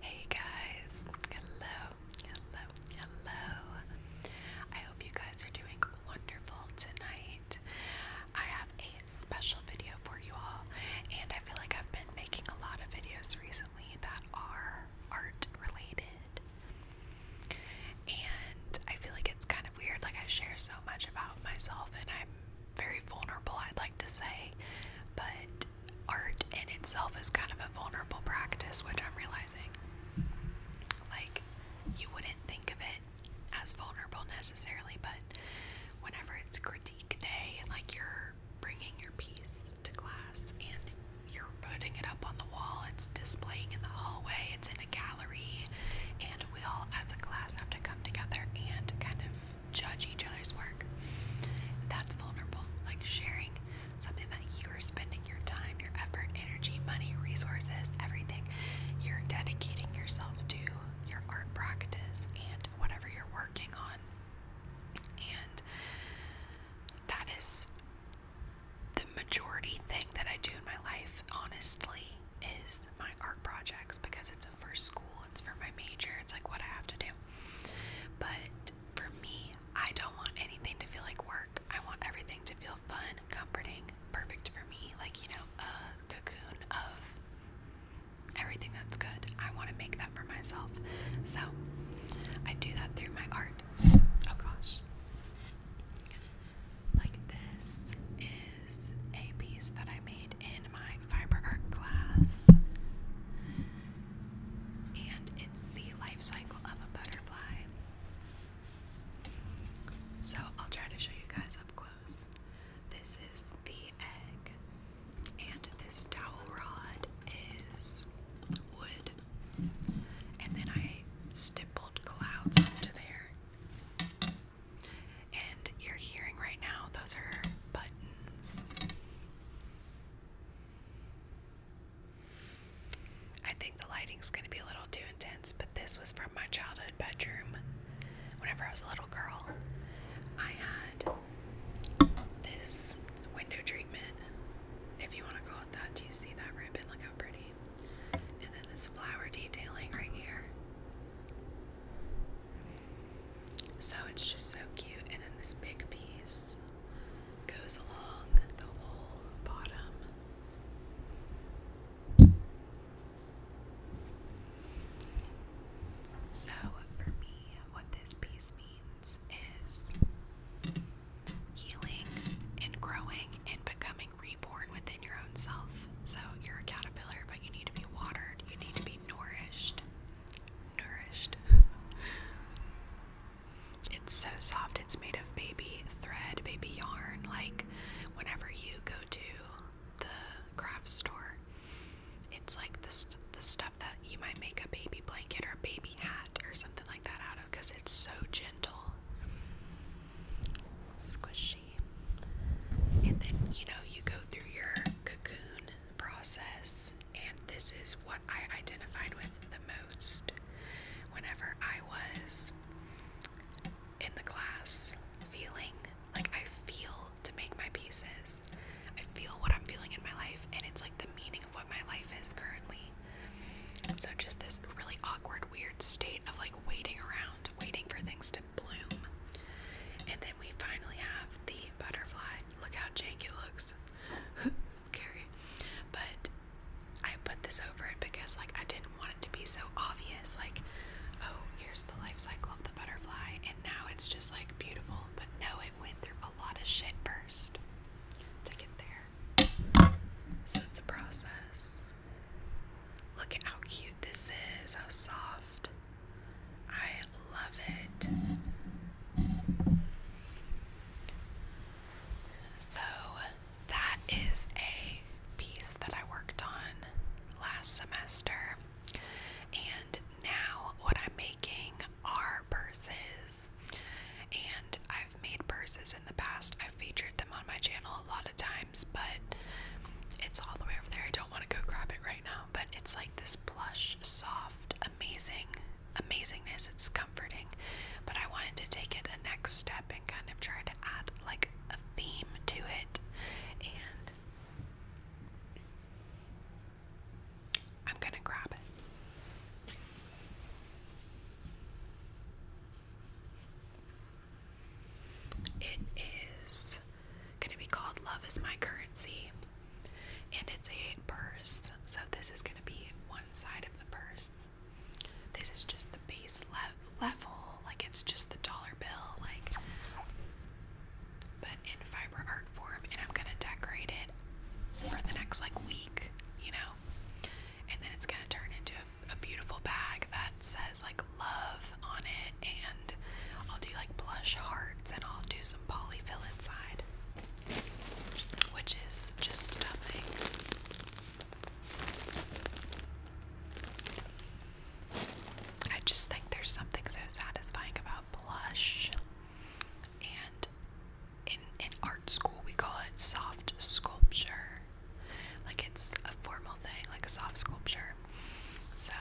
Hey guys, hello, hello, hello. I hope you guys are doing wonderful tonight. I have a special video for you all, and I feel like I've been making a lot of videos recently that are art related. And I feel like it's kind of weird, like I share so much about myself, and I'm very vulnerable, I'd like to say, but art in itself is kind of a vulnerable practice, which I'm realizing. Like, you wouldn't think of it as vulnerable necessarily, but whenever it's critique day, like you're bringing your piece to class and you're putting it up on the wall, it's displaying in the hallway, it's in a gallery, and we all as a class have to come together and kind of judge each other's work. That's vulnerable. Like sharing something that you are spending your time, your effort, energy, money, resources, everything. You're dedicating yourself to your art practice and whatever you're working on. And that is the majority thing that I do in my life, honestly, is my art projects because it's for school, it's for my major, it's like what I have to do. But for me, I don't want anything to feel like work. I want everything to feel fun, comforting, perfect for me, like, you know, a cocoon of everything that's good. I want to make that for myself. So I do that through my art. Oh gosh. Like this is a piece that I made in my fiber art class. And it's the life cycle of a butterfly. So I'll try to show you guys up close. This is the egg, and this dowel rod is wood. And then I stippled clouds onto there. And you're hearing right now, those are buttons. I think the lighting's going to be a little too intense, but this was from my childhood bedroom. Whenever I was a little girl, I had this window treatment, if you want to call it that. Do you see that ribbon? Look how pretty. And then this flower detailing right here. So it's just so cute. And then this big piece goes along the whole bottom. So for me, what this piece means is healing and growing and becoming reborn within your own self. So you're a caterpillar, but you need to be watered, you need to be nourished nourished. it's so soft. It's made of baby thread, baby yarn. Like whenever you go to the craft store, it's like the, the stuff that you might make a baby blanket or a baby hat or something like that out of because it's so gentle. Squishy. And then, you know, you go through your cocoon process, and this is what I identified with the most whenever I was in the class feeling like I feel to make my pieces. I feel what I'm feeling in my life, and it's like the meaning of what my life is currently. so, just this really awkward, weird state of like waiting around, waiting for things to bloom. And then we finally have the butterfly. Look how janky it looks. Scary. But I put this over it because like I didn't want it to be so obvious like oh here's the life of the butterfly and now it's just like beautiful but no it went through a lot of shit first to get there. So it's a process. Look how cute this is, how soft. I I love it. So, that is a piece that I worked on last semester. And now, what I'm making are purses. And I've made purses in the past, I've featured them on my channel a lot of times, but it's all the way over there. I don't want to go grab it right now but it's like this plush, soft, amazing amazingness. It's comforting. But I wanted to take it a next step and kind of try to add like a theme to it. And I'm going to grab it. It is going to be called Love is My Currency. And it's a purse. So this is going to be one side of the purse. This is just the base level. Like it's just the dollar bill. Like, but in fiber art form. And I'm going to decorate it for the next like week, you know. And then it's going to turn into a beautiful bag that says like love on it, and I'll do like blush hearts, and I'll do some polyfill inside, which is just stuffing. I just think there's something so satisfying about blush, and in in art school we call it soft sculpture. Like it's a formal thing, like a soft sculpture. So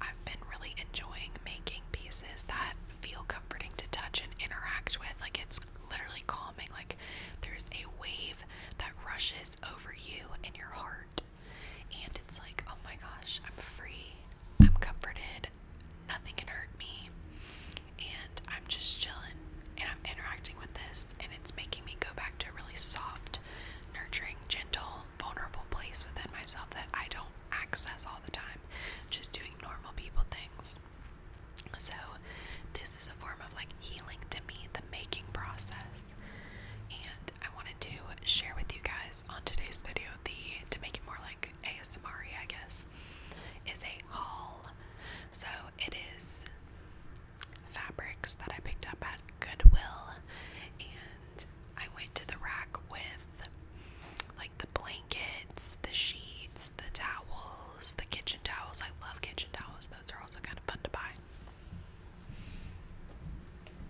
I've been really enjoying making pieces that feel comforting to touch and interact with. Like it's literally calming. Like there's a wave that rushes over you and your heart. And it's like, oh my gosh, I'm free. I'm comforted. Nothing can hurt me. And I'm just chilling and I'm interacting with this. And it's making me go back to a really soft, nurturing, gentle vulnerable place within myself that I don't access all the time, just doing normal people things. So, this is a form of like healing to me, the making process. And I wanted to share with you guys on today's video the to make it more like ASMR, I guess, is a haul. So, it is fabrics that I picked up at Goodwill and I went to the rack with like the blankets, the sheets, the towels, the kitchen towels. I love kitchen towels, those are also kind of fun to buy.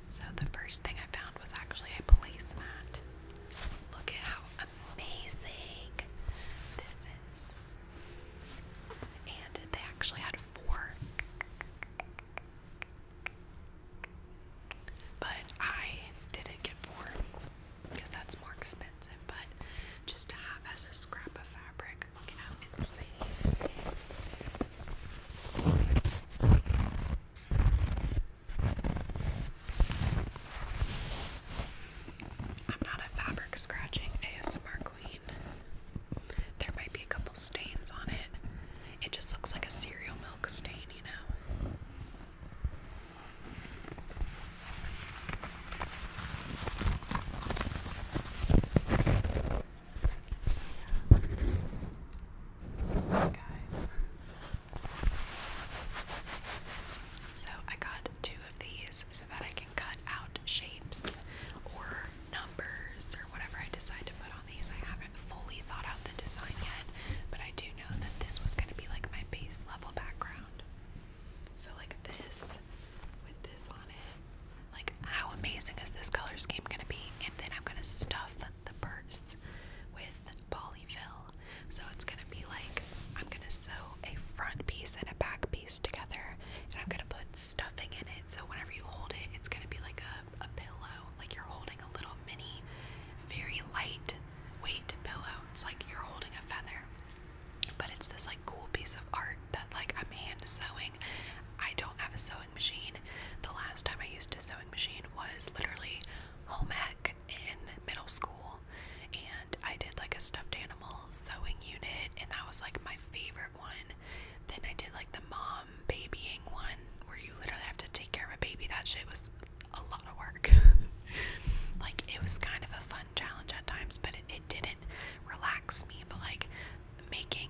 So the first thing I found was actually a placemat. Look at how amazing this is. And they actually had four but I didn't get four because that's more expensive. But just to have as a scrap of fabric, look at how insane. I'm not a fabric scratching ASMR queen. There might be a couple stains on it, it just looks like a cereal milk stain, you know. So yeah. Guys. So I got two of these so that I can cut out shapes or numbers or whatever I decide to put on these. I haven't fully thought out the design yet, but I do know that this was going to be like my base level background. So, like this with this on it. Like, how amazing is this color scheme going to be? And then I'm going to stuff the purse with polyfill. So, it's going to be like I'm going to sew a front piece and a back piece together, and I'm going to put stuffing in it. So, whenever you hold it, it's going to be like a a, pillow. Like you're holding a little mini, very light weight pillow. It's like you're holding a feather. But it's this like cool piece of art that like I'm hand sewing. I don't have a sewing machine. The last time I used a sewing machine was literally home ec in middle school. And I did like a stuffed animal sewing unit, and that was like my favorite one. Then I did like the mom um, babying one where you literally have to take care of a baby. That shit was a lot of work. like it was kind of a fun challenge at times, but it didn't relax me. But like making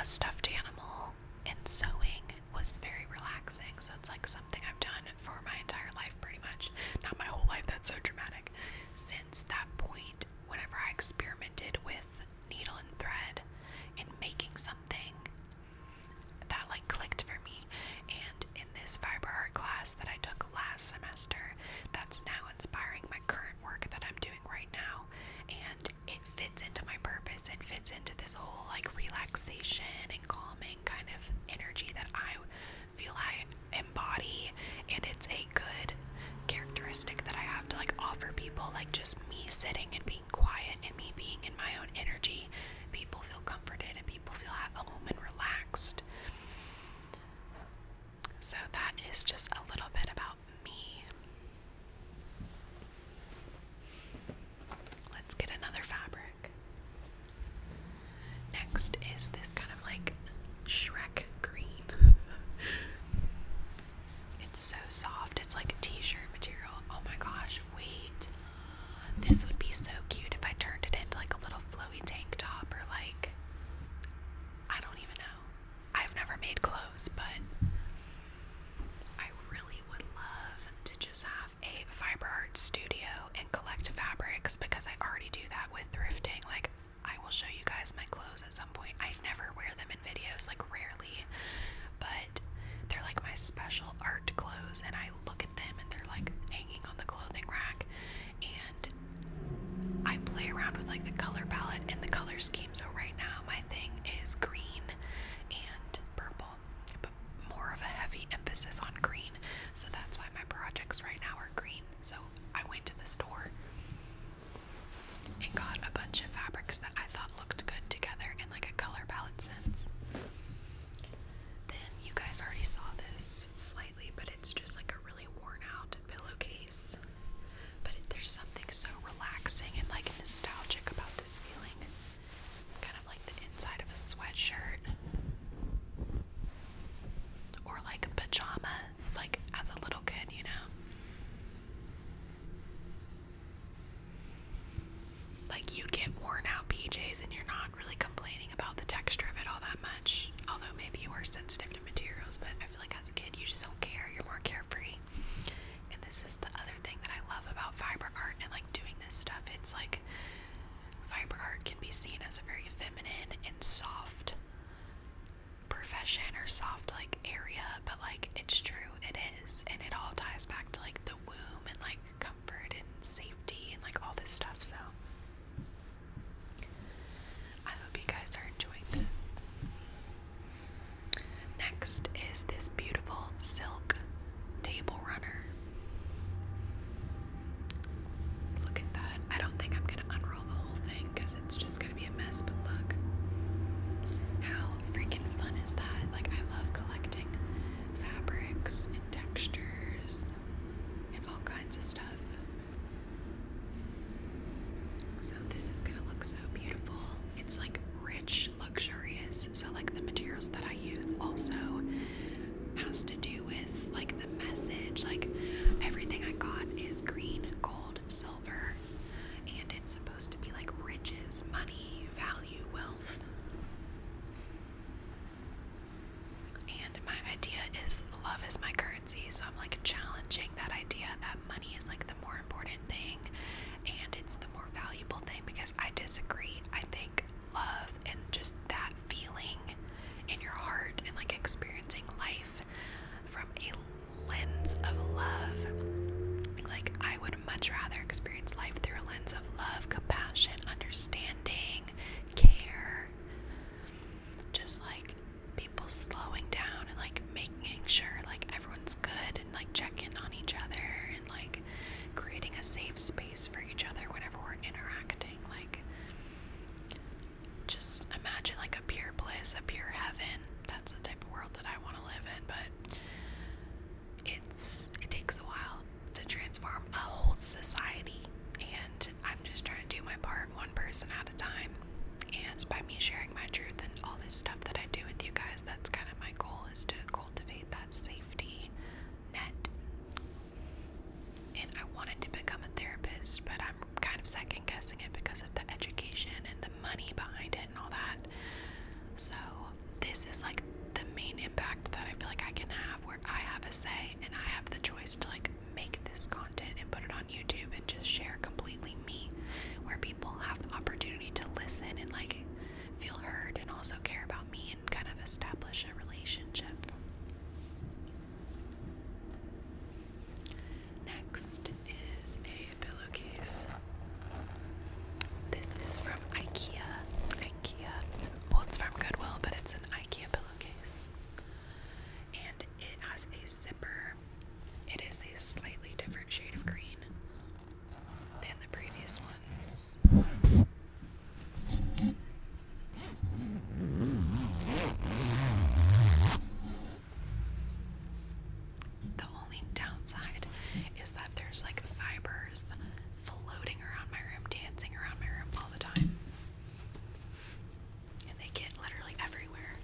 a stuffed animal and sewing was very relaxing. So it's like something I've done for my entire life, pretty much. Not my whole life. That's so dramatic. Since that point, whenever I experimented with needle and thread and making something that like clicked for me. And in this fiber art class that I took last semester, that's now inspiring my current work that I'm doing right now. And it fits into my purpose. It fits into this whole like relaxation and calming kind of energy that I feel I embody. And it's a good characteristic that I have to like offer people like just me sitting and being quiet and me being in my own energy people feel comforted and people feel at home and relaxed so that is just a little bit about me let's get another fabric next is this kind of like shrek green It's so soft. It's like a t-shirt material. Oh my gosh, wait. This would be so cute if I turned it into like a little flowy tank top or like I don't even know. I've never made clothes, but I really would love to just have a fiber art studio and collect fabrics because I already do that with thrifting. Like I will show you guys my clothes at some some point. I never wear them in videos, like rarely, but they're like my special art clothes, and I look at them and they're like hanging on the clothing rack, and I play around with like the color palette and the color scheme. So right now my thing is green and purple, but more of a heavy emphasis on green. So that's why my projects right now are green. So I went to the store and got a bunch of fabrics that I thought looked good together in like a color palette sense. Then you guys already saw this slightly, but it's just like a really worn out pillowcase. But there's something so relaxing and like nostalgic about this feeling. Kind of like the inside of a sweatshirt. Or like pajamas like as a little kid, you know. Like you'd get worn out PJs and you're not really complaining about the texture of it all that much. Although maybe you are sensitive to materials, but I feel like as a kid you just don't care. You're more carefree. And this is the other thing that I love about fiber art and like doing this stuff. It's like fiber art can be seen as a very feminine and soft profession or soft like area, but like it's true, it is, and it all ties back to like the womb and like comfort and safety and like all this stuff. So I hope you guys are enjoying this. Next is this beautiful silk table runner. Look at that. I don't think I'm gonna unroll the whole thing because it's just be a mess, but look. How freaking fun is that? Like, I love collecting fabrics and textures and all kinds of stuff. So, this is gonna look so beautiful. It's like rich, luxurious. So, like, the materials that I use also has to do with like the message. Like, everything I got is green, and gold, silver, and it's supposed to be like riches, money, value, wealth. And my idea is love is my currency, so I'm like challenging that idea that money is like the more important thing and it's the more valuable thing because I disagree. I think love and just that feeling in your heart and like experiencing life from a lens of love. Like, I would much rather experience life through a lens of love, compassion, understanding, care. Just like people slowing down and like making sure like everyone's good and like checking on each other and like creating a safe space for each other whenever we're interacting. Like, just imagine like a pure bliss, a pure heaven. That's the type of world that I want to live in, but it's it takes a while to transform a whole society. And I'm just trying to do my part one person at a time. And by me sharing my truth and all this stuff that I do with you guys, that's kind of my goal is to cultivate that safety net. And I wanted to become a therapist, but I'm kind of second second guessing it because of the education and the money behind it and all that. So, this is like the main impact that I feel like I can have where I have a say and I have the choice to like make this content and put it on YouTube and just share completely me where people have the opportunity to listen and like feel heard and also care about me and kind of establish a relationship. Next is a pillowcase. This is from IKEA. IKEA. Well, it's from Goodwill, but it's an IKEA pillowcase. And it has a zipper. It is a slightly different shade of green than the previous ones. The only downside is that there's like fibers floating around my room, dancing around my room all the time. And they get literally everywhere.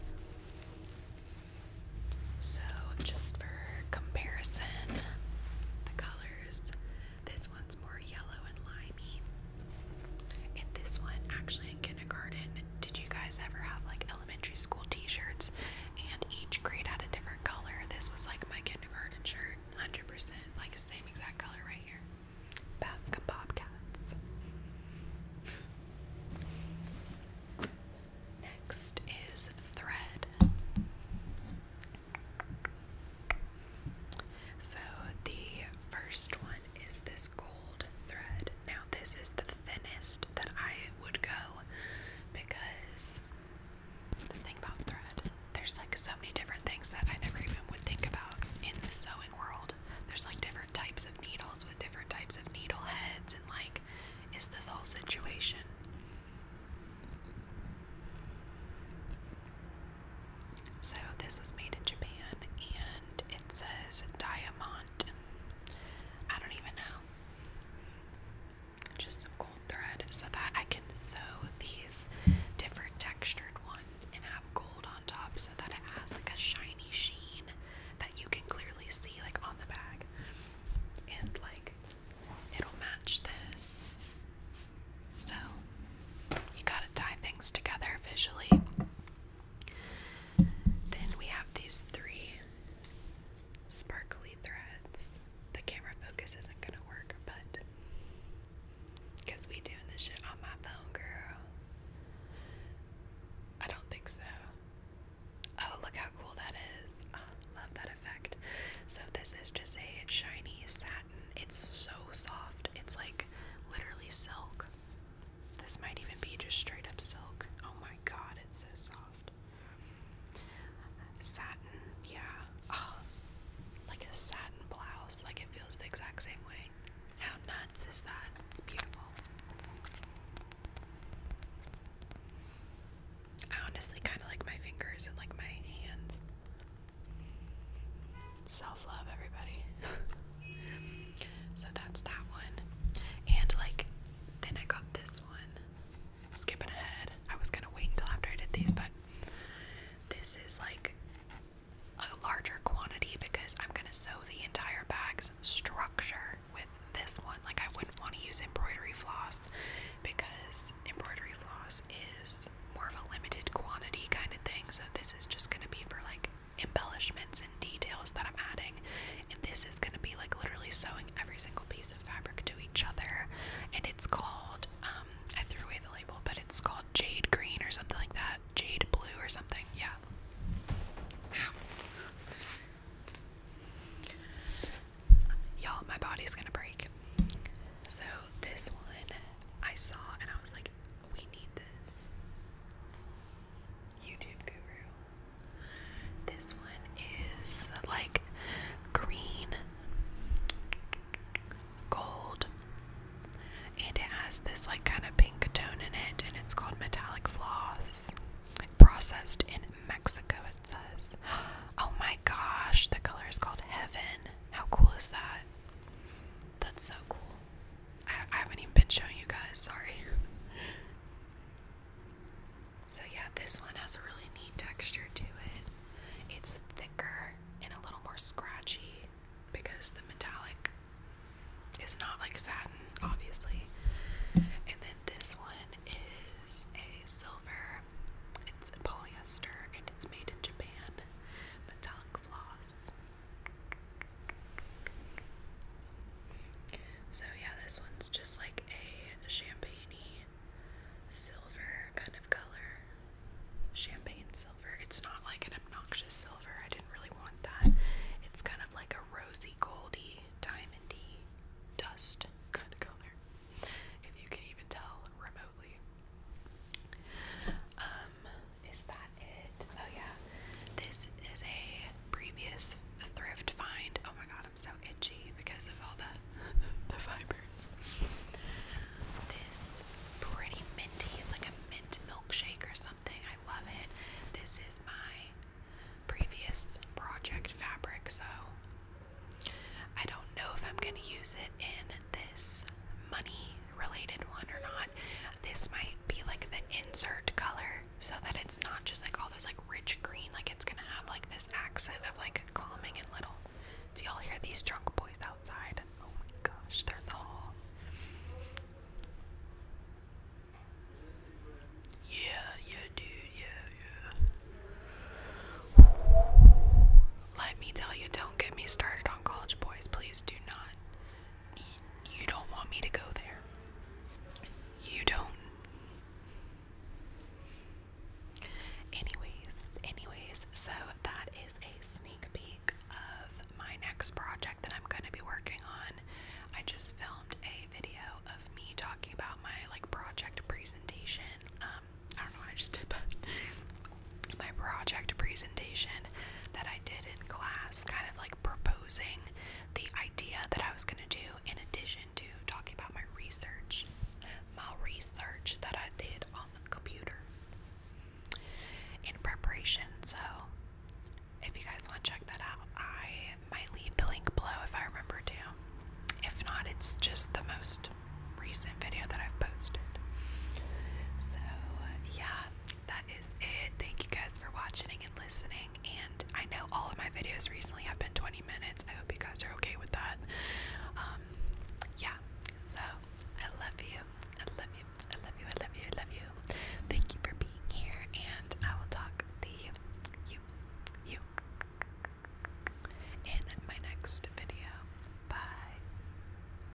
So, just for comparison, the colors this one's more yellow and limey. And this one, actually, in kindergarten, did you guys ever have like elementary school t-shirts and each grade had a different color? This was like my kindergarten shirt, 100%, like same exact color right here. Baskin Bobcats. Next is thread. So the first one is this gold thread. Now, this is the thinnest that I would go because the thing about thread, there's like so many different things that I never even would think about in the sewing world. There's like different types of needles with different types of needle heads, and like, is this whole situation. So, this was made in Japan and it says Diamond I don't even know. Just some gold thread so that I can sew these different textured ones and have gold on top so that it has like a shiny sheen that you can clearly see like on the bag. And like it'll match this. So you gotta tie things together visually. Then we have these three sparkly threads. The camera focus isn't going to work, but we doing this shit on my phone, girl. I don't think so. Oh, look how cool that is. Ah, love that effect. So this is just a shiny satin. It's so soft. It's like literally silk. This might even be just straight up silk. Oh my god, it's so soft. Satin, yeah. Oh, like a satin blouse. Like it feels the exact same way. How nuts is that? It's beautiful. I honestly kind of like my fingers and like my hands. Self love, everybody. so that's that one. And like, then I got this one. Skipping ahead. I was gonna wait until after I did these, but this is like a larger quantity because I'm gonna sew the entire bag's structure with this one. Like, I wouldn't want to use embroidery floss because embroidery floss is more of a limited quantity kind of thing. So, this is just gonna be for like embellishments and details that I'm adding. And this is going to be like literally sewing every single piece of fabric to each other. And it's called, um, I threw away the label, but it's called Jade Green or something like that. Jade Blue or something. Yeah. Y'all, my body's going to break. So this one I saw and I was like, we need this. YouTube guru. This one is like green, gold, and it has this like kind of pink tone in it, and it's called Metallic Floss. Processed in Mexico, it says. Oh my gosh, the color is called Heaven. How cool is that? That's so cool. I, haven't even been showing you guys, sorry. So, yeah, this one has a really neat texture to it. It's thicker and a little more scratchy because the metallic is not like satin, obviously. And then this one is a silver, it's polyester, and it's made in Japan. Metallic floss. So yeah, this one's just like a champagne silver kind of color. Champagne silver. It's not like an obnoxious silver. I didn't really want that. It's kind of like a rosy goldy diamondy dust kind of color. If you can even tell remotely. Um, is that it? Oh yeah, this is a previous thrift find. Oh my god, I'm so itchy because of all the the fibers. This pretty minty. It's like a mint milkshake or something. I love it. This is my previous project fabric, so I don't know if I'm gonna use it in this money related one or not. This might be like the insert color so that it's not just like all this like rich green, like it's gonna have like this accent of like calming and little. Do y'all hear these drunk boys outside? Oh my gosh, they're the Yeah, yeah, dude, yeah, yeah. Let me tell you, don't get me started on college boys. Please do not you don't want me to go there. You don't. Anyways, anyways, so that is a sneak peek of my next project that I'm going to be working on. I just filmed a video of me talking about my like project presentation. Um, I don't know I just did that my project presentation that I did in class, kind of like proposing the idea that I was going to do in addition to talking about my research, my research that I did on the computer in preparation. So, if you guys want to check that out, I might leave the link below if I remember to. If not, it's just the most recent video that I've posted. So, yeah, that that is it. Thank you guys for watching and listening. And I know all of my videos recently have been 20 minutes. I hope you guys are okay with that. Um, yeah. So I love you. I love you. I love you. I love you. I love you. Thank you for being here, and I will talk to you, you, you in my next video. Bye.